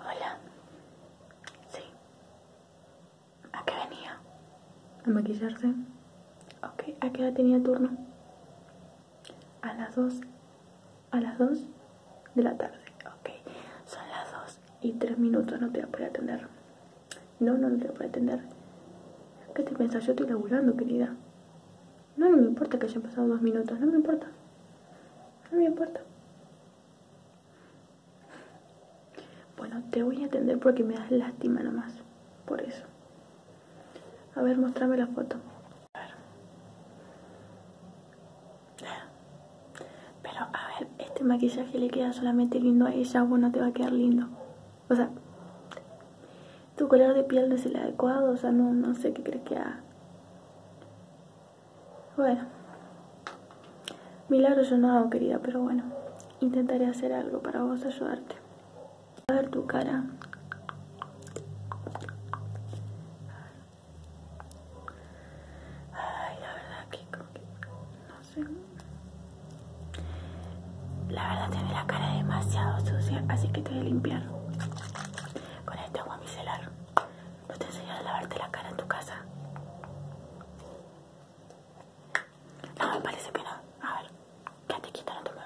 Hola. Sí. ¿A qué venía? ¿A maquillarse? Ok, ¿a qué hora tenía turno? A las 2. A las 2 de la tarde. Ok, son las 2 y 3 minutos. No te voy a poder atender. No, no, no te voy a poder atender. ¿Qué te pensás? Yo estoy laburando, querida. No, me importa que hayan pasado dos minutos, no me importa. No me importa. Bueno, te voy a atender porque me das lástima nomás. Por eso. A ver, mostrame la foto. Pero, a ver, este maquillaje le queda solamente lindo a ella, o no te va a quedar lindo. O sea, tu color de piel no es el adecuado, o sea, no, no sé qué crees que ha bueno. Milagro yo no hago, querida, pero bueno. Intentaré hacer algo para vos ayudarte. A ver tu cara. Ay, la verdad que como que... No sé. La verdad tiene la cara demasiado sucia, así que te voy a limpiar con este agua micelar. ¿No te enseñan a lavarte la cara en tu casa? No, me parece bien A ver, quédate te quita, no te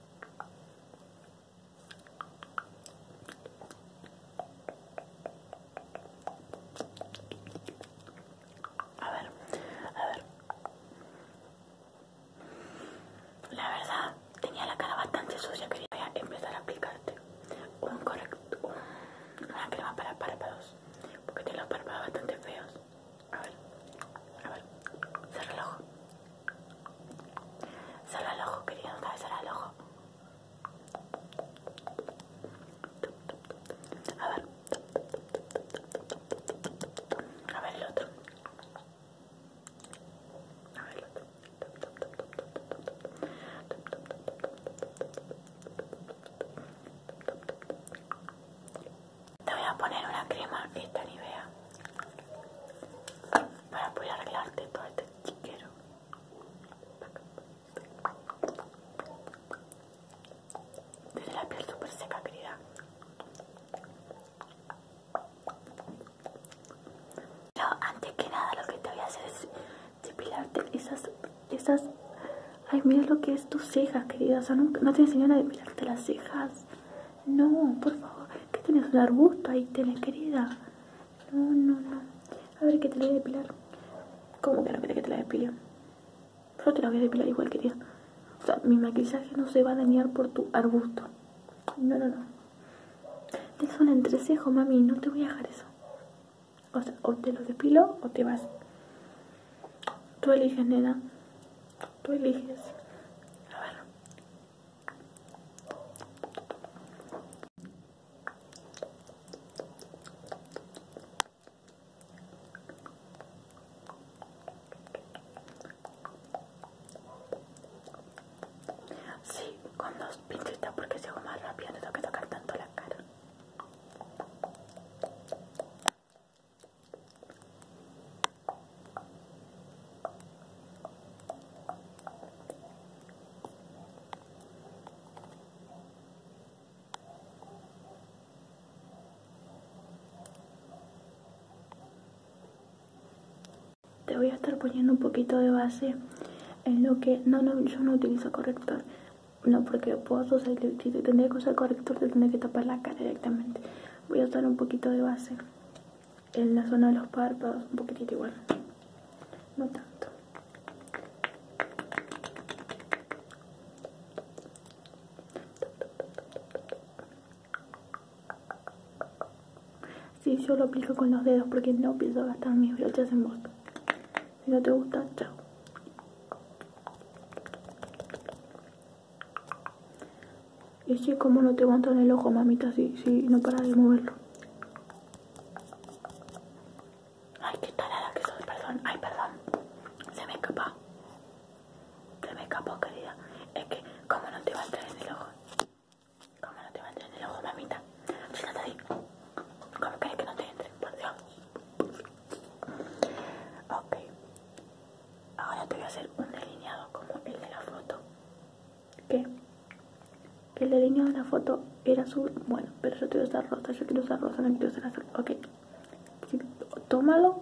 a ver, a ver. La verdad, tenía la cara bastante sucia. Quería empezar a aplicarte un correcto una crema para párpados, porque tengo los párpados bastante feos. A ver, a ver, el ojo. cerra el ojo, querido, otra vez el ojo. A ver. A ver el otro. A ver el otro. Te voy a poner una crema, esta Nivea, para poder arreglarte todo este chiquero. Tiene la piel súper seca, querida. Pero antes que nada lo que te voy a hacer es depilarte esas... esas Ay, mira lo que es tus cejas, querida. O no, te enseñan a depilarte las cejas. No, por favor, que tienes un arbusto ahí, tenés querida. No, no, no. A ver, que te la voy a depilar. ¿Cómo que no querés que te la depile? Yo te la voy a depilar igual, querida. O sea, mi maquillaje no se va a dañar por tu arbusto. No, no, no. Te un entrecejo, mami, no te voy a dejar eso. O sea, o te lo depilo o te vas. Tú eliges, nena. Tú eliges. A Sí, con dos está porque si hago más rápido, no tengo que tocar tanto la cara. Te voy a estar poniendo un poquito de base en lo que... No, no, yo no utilizo corrector. No, porque puedo, usar el que usar corrector, te tendría que tapar la cara directamente. Voy a usar un poquito de base en la zona de los párpados, un poquitito igual, no tanto. sí, yo lo aplico con los dedos porque no pienso gastar mis brochas en vos. Si no te gusta, chao. Es que como no te en el ojo, mamita, si, sí, no para de moverlo. Ay, qué tarada que soy, perdón. Ay, perdón. Se me escapó. Se me escapó, querida. Es que, como no te va a entrar en el ojo? ¿Cómo no te va a entrar en el ojo, mamita? te ahí. ¿Cómo crees que no te entre? Por Dios. Ok. Ahora te voy a hacer un delineado como el de la foto. ¿Qué? Que el delineado de la foto era azul. Bueno, pero yo te usar rosa. Yo quiero usar rosa, no quiero usar azul. Ok. o tómalo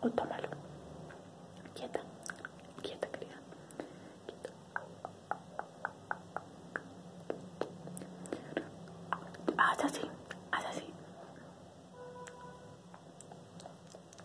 o tómalo. Quieta. Quieta, querida. Quieta. Haz así. Haz así.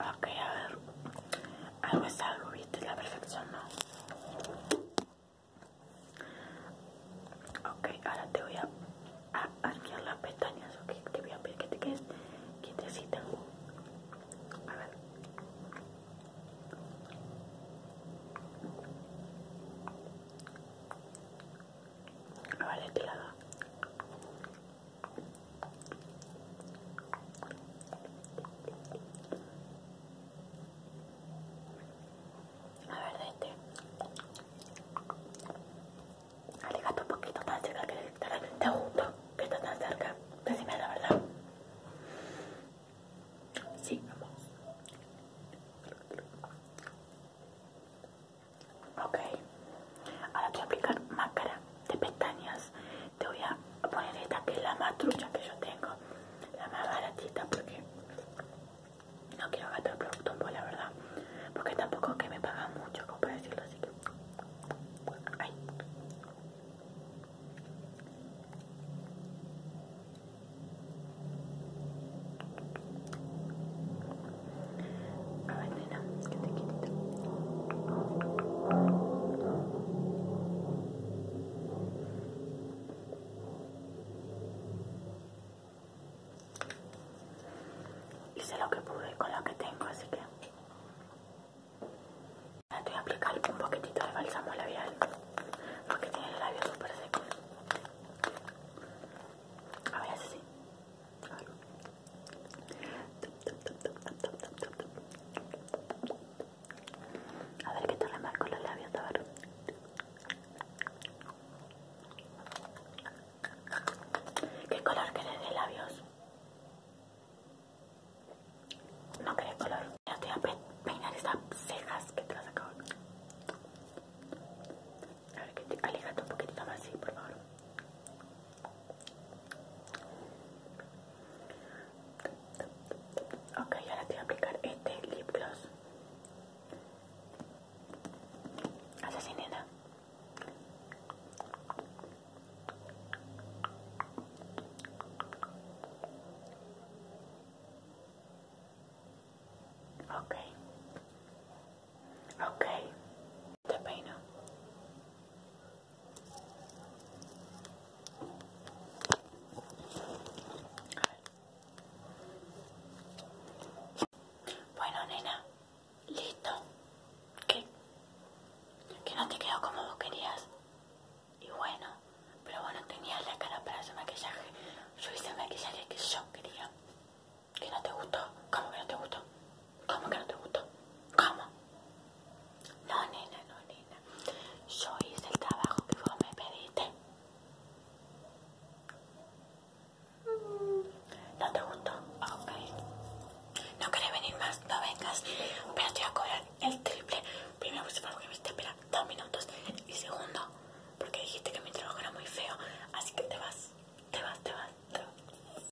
Ok, a ver. Algo es algo, viste, la perfección no. Ok, ahora te voy a, abrir las pestañas, ok. Te voy a pedir que te quedes quietecita. A ver. A ver, este lado. A ver, de este. un poquito tan cerca que te, te, gusta que estás tan cerca. Decime la verdad. Sí, vamos. Ok, ahora te voy a aplicar máscara de pestañas. Te voy a poner esta que es la más trucha que yo tengo, la más baratita, porque no quiero gastar producto en la verdad. Porque tampoco que me pagan mucho, como para decirlo así que. A ver, nena, que te quitito. Hice lo que pude con lo que tengo, así que voy a aplicar un poquitito de bálsamo labial porque tiene el labio súper seco. A ver, así. A ver que te marco los labios, a ¿Qué color querés de labios? No querés color. Yo te voy a peinar esas cejas que te las acabo. A ver que te alejate un poquitito más, sí, por favor. Okay, ahora te voy a aplicar este lip gloss. nada. Ok. Ok, te peino. Bueno, nena, listo. ¿Qué? Que no te quedó como vos querías. Y bueno, pero bueno, no tenías la cara para ese maquillaje. Yo hice el maquillaje que yo quería. ¿Que no te gustó? ¿Cómo que no te gustó? ¿Cómo que no te gustó? ¿Cómo? No, nena, no, nena. Yo hice el trabajo que vos me pediste. ¿No te gustó? Ok. No querés venir más, no vengas. Pero te voy a cobrar el triple. Primero, pues, porque me viste esperar dos minutos. Y segundo, porque dijiste que mi trabajo era muy feo. Así que te vas, te vas. Te vas.